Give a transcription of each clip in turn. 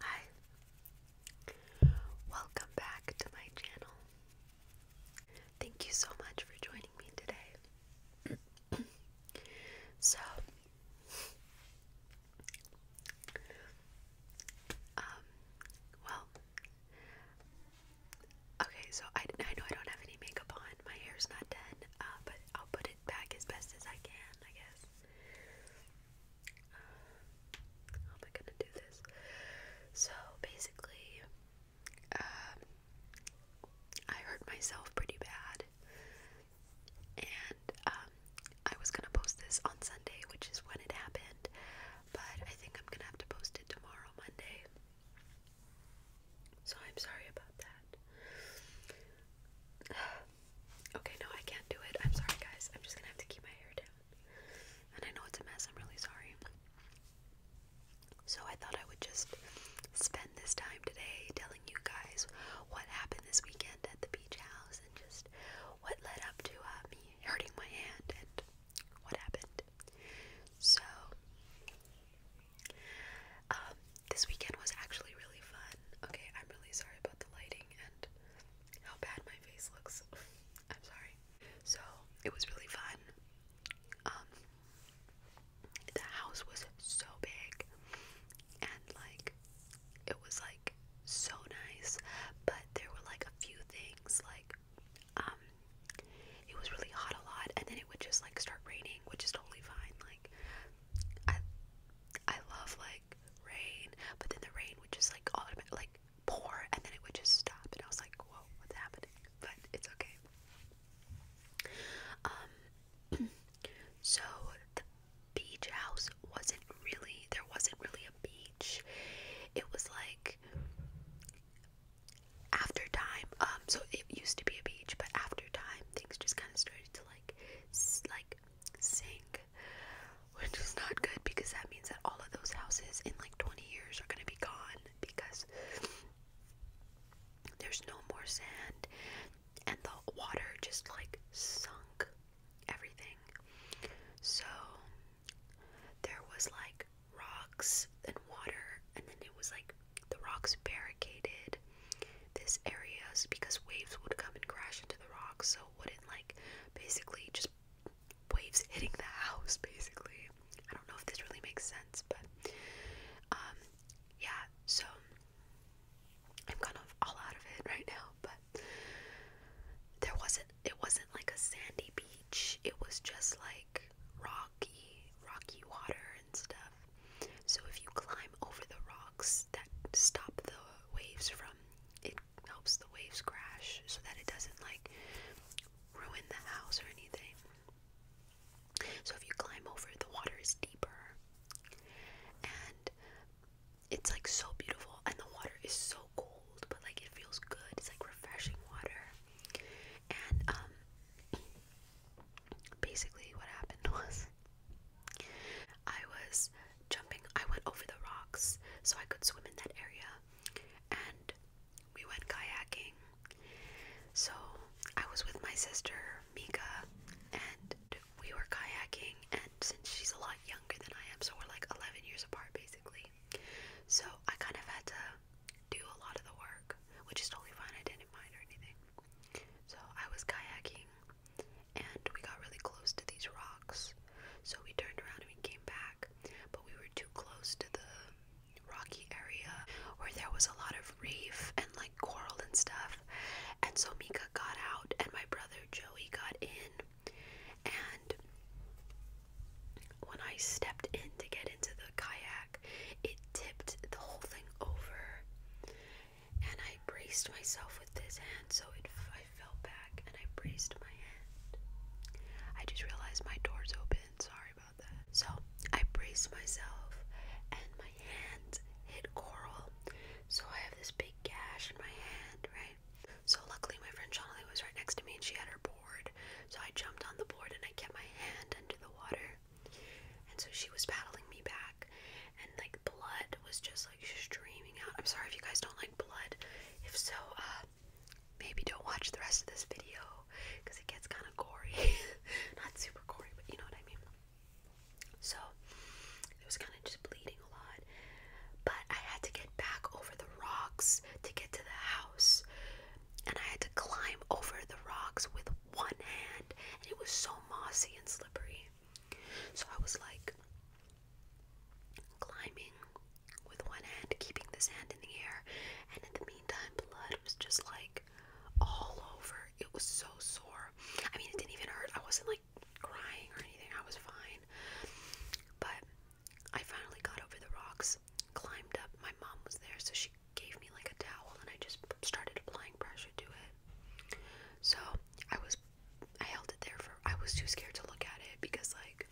Hi, welcome back to my channel. Thank you so much for joining me today. so, um, well, okay, so I, know I don't have any makeup on, my hair's not dead, uh, but I'll put it back as best as I can, I guess. Uh, how am I gonna do this? So basically, um, I hurt myself pretty bad, and um, I was gonna post this on Sunday, which is when it happened, but I think I'm gonna have to post it tomorrow, Monday. So I'm sorry about that. okay, no, I can't do it. I'm sorry, guys. I'm just gonna have to keep my hair down. And I know it's a mess. I'm really sorry. So I thought I would just spend this time today telling you guys what happened this weekend at the beach house and just what led up to uh, me hurting my hand and what happened. So um, this weekend was actually really fun. Okay, I'm really sorry about the lighting and how bad my face looks. I'm sorry. So, it was really fun. Um, the house was so big and like it was like so nice, but there were like a few things like um it was really hot a lot and then would just like start raining, which is totally fine. Like I I love like rain, but then the rain would just like automatically like pour and then it would just stop and I was like, Whoa, what's happening? But it's okay. Um so the beach house wasn't really there wasn't really a beach. It was like after time, um, so it used to be a beach, but after time, things just kind of started to like, like sink, which is not good because that means that all of those houses in like 20 years are gonna be gone because there's no more sand, and the water just like sunk everything. So there was like rocks and water, and then it was like the rocks barricaded this area because waves would come and crash into the rocks, so wouldn't like basically just waves hitting the house basically. I don't know if this really makes sense, but um yeah, so I'm kind of all out of it right now, but there wasn't it wasn't like a sandy beach. It was just like rocky, rocky water and stuff. So if you climb over the rocks that stop the waves from, it helps the waves crash so that it doesn't like ruin the house or anything. So if you climb over, the water is deeper. And it's like so beautiful and the water is so cold, but like it feels good. It's like refreshing water. And um basically what happened was I was jumping I went over the rocks so I could swim in that area and we went kayaking. So I was with my sister Mika and we were kayaking and since she's a lot younger than I am so we're like 11 years apart basically. So I kind of had to do a lot of the work, which is totally fine. I didn't mind or anything. So I was kayaking and we got really close to these rocks. So we turned around and we came back, but we were too close to the rocky area where there was a lot of reef and like coral and stuff. And so Mika got out and my brother Joey got in. And when I stepped in to get into the kayak, it tipped the whole thing over. And I braced myself with this hand, so it, I fell back and I braced my hand. I just realized my door's open. Sorry about that. So I braced myself, and my hand hit coral. So I have this big gash in my hand, right? So luckily, my friend Jonathan was right next to me, and she had her board. So I jumped on the board and I kept my hand under the water. And so she was paddling me back, and like blood was just like streaming out. I'm sorry if you guys don't like blood. If so, uh, maybe don't watch the rest of this video because it gets kind of gory. Not super gory, but you know what I mean. So it was kind of just bleeding a lot. But I had to get back over the rocks to get to the house and I had to climb over the rocks with one hand, and it was so mossy and slippery. So I was like climbing with one hand, keeping this hand in the air, and in the meantime, blood was just like all over. It was so sore. I mean, it didn't even hurt. I wasn't like crying or anything, I was fine. But I finally got over the rocks, climbed up. My mom was there, so she gave me like a towel and I just started applying pressure to it. So I was, I held it there for, I was too scared to look at it because like,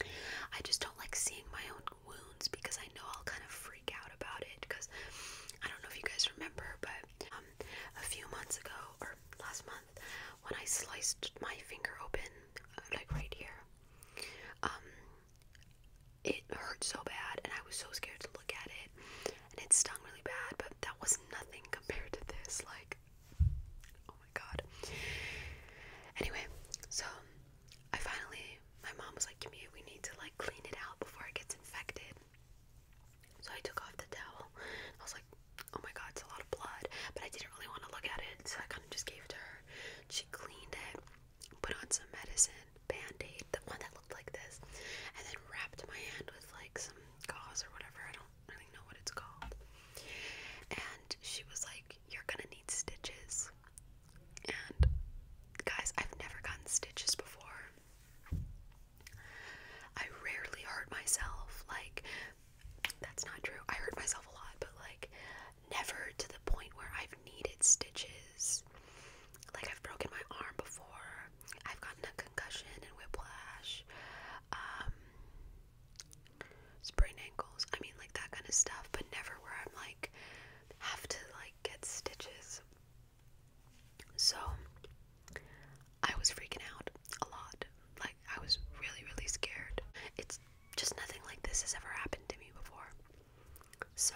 I just don't like seeing my own wounds because I know I'll kind of freak out about it because I don't know if you guys remember, but um, a few months ago or last month when I sliced my finger open, uh, like right here, um, it hurt so bad and I was so scared to look at it and it stung really bad but that was nothing compared to this like oh my god anyway so I finally my mom was like give me we need to like clean it out before it gets infected so I took off the towel I was like oh my god it's a lot of blood but I didn't really want to look at it so I kind of just gave it to her she cleaned it put on some medicine, band-aid, the one that looked like this, and then wrapped my hand with like some gauze or whatever. I don't really know what it's called. And she was like, You're gonna need stitches. And guys, I've never gotten stitches before. I rarely hurt myself. Like, that's not true. I hurt myself a lot, but like, never to the point where I've needed stitches. Like, I've broken my arm before, I've gotten a concussion and whiplash, um, sprain ankles, I mean, like that kind of stuff, but never where I'm like, have to like get stitches. So, I was freaking out a lot. Like, I was really, really scared. It's just nothing like this has ever happened to me before. So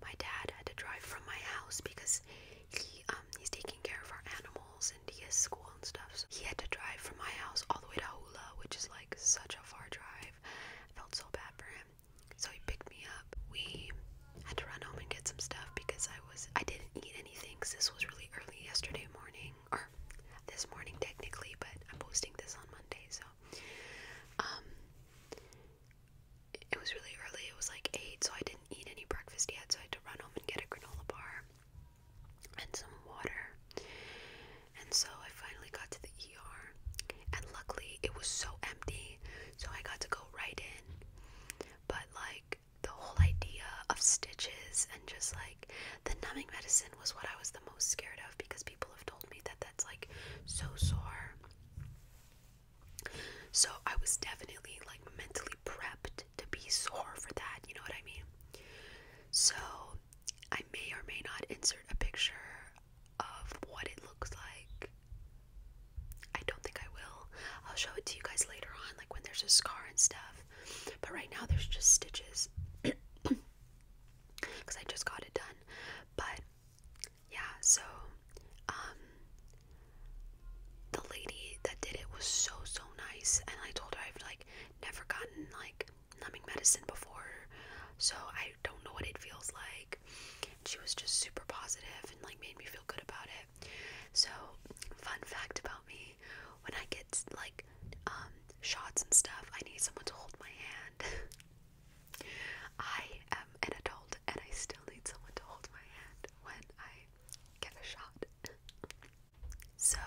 my dad had to drive from my house because he um he's taking care of our animals and he has school and stuff. So he had to drive from my house all the way to Hula, which is like such a far drive. I felt so bad for him. So he picked me up. We had to run home and get some stuff because I was I didn't eat anything because this was really early yesterday morning or this morning technically, but I'm posting this on Monday, so um it was really early, it was like 8, so I didn't eat any breakfast yet, so I had to run home and get a granola bar and some water. And so I finally got to the ER, and luckily it was so empty, so I got to go right in. But like the whole idea of stitches and just like the numbing medicine was what I was the most scared of because people told me that that's like so sore. So I was definitely like mentally prepped to be sore for that, you know what I mean? So I may or may not insert a picture of what it looks like. I don't think I will. I'll show it to you guys later on, like when there's a scar and stuff. But right now, there's just stitches because I just got it done. But yeah, so um, the lady that did it was so so nice and I told her I've like never gotten like numbing medicine before so I don't know what it feels like. she was just super positive and like made me feel good about it. So fun fact about me, when I get like um, shots and stuff, I need someone to hold my hand. I am an adult and I still need someone to hold my hand when I get a shot. so,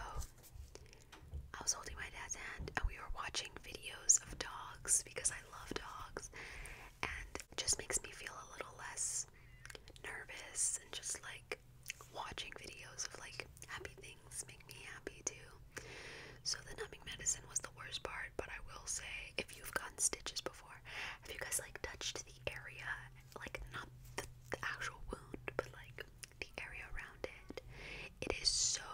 I was holding my dad's hand and we were watching videos of dogs because I love dogs and just makes me feel a little less nervous and just like watching videos of like happy things makes me happy too. So the numbing medicine was the worst part, but I will say if you've gotten stitches before, have you guys like touched the area, like not the, the actual wound, but like the area around it? It is so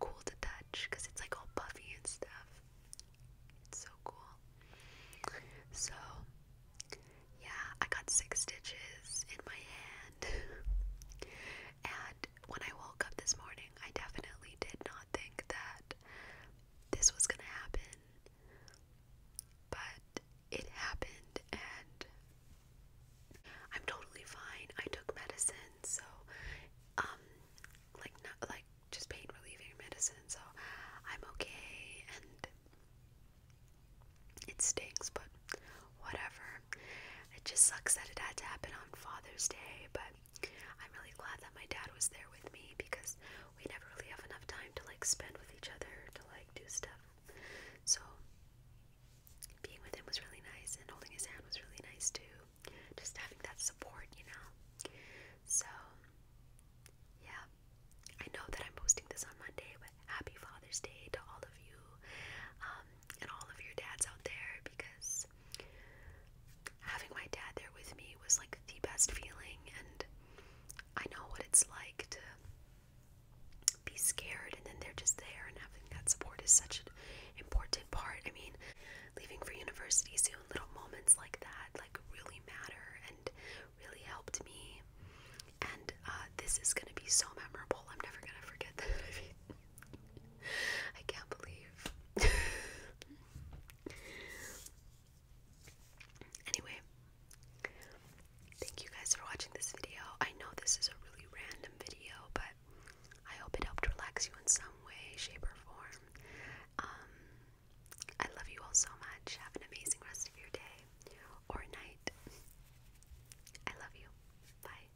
cool to touch because it's like all puffy and stuff. It's so cool. So yeah, I got six stitches in my hand. And when I woke up this morning, I definitely did not think that this was going to happen. But it happened, and I'm totally fine. I took medicine, so um, like not like just pain relieving medicine, so I'm okay. And it stinks, but whatever. It just sucks that it had to happen on Father's Day, but I'm really glad that my dad was there with me because we never really have enough time to like spend with each other to like do stuff. So being with him was really nice and holding his hand was really nice too. Just having that support, you know. So yeah. I know that I'm posting this on Monday, but happy Father's Day to all of you. Um and all of your dads out there because having my dad there with me was like the best feeling, and I know what it's like to be scared and then they're just there and having that support is such an important part. I mean, leaving for university soon, little moments like that like really matter and really helped me. And uh, this is gonna be so memorable. I'm never gonna forget that. I can't believe. anyway, thank you guys for watching this video. I know this is a really random video, but I hope it helped relax you in some way, shape, or form. Um, I love you all so much. Have an amazing rest of your day or night. I love you. Bye.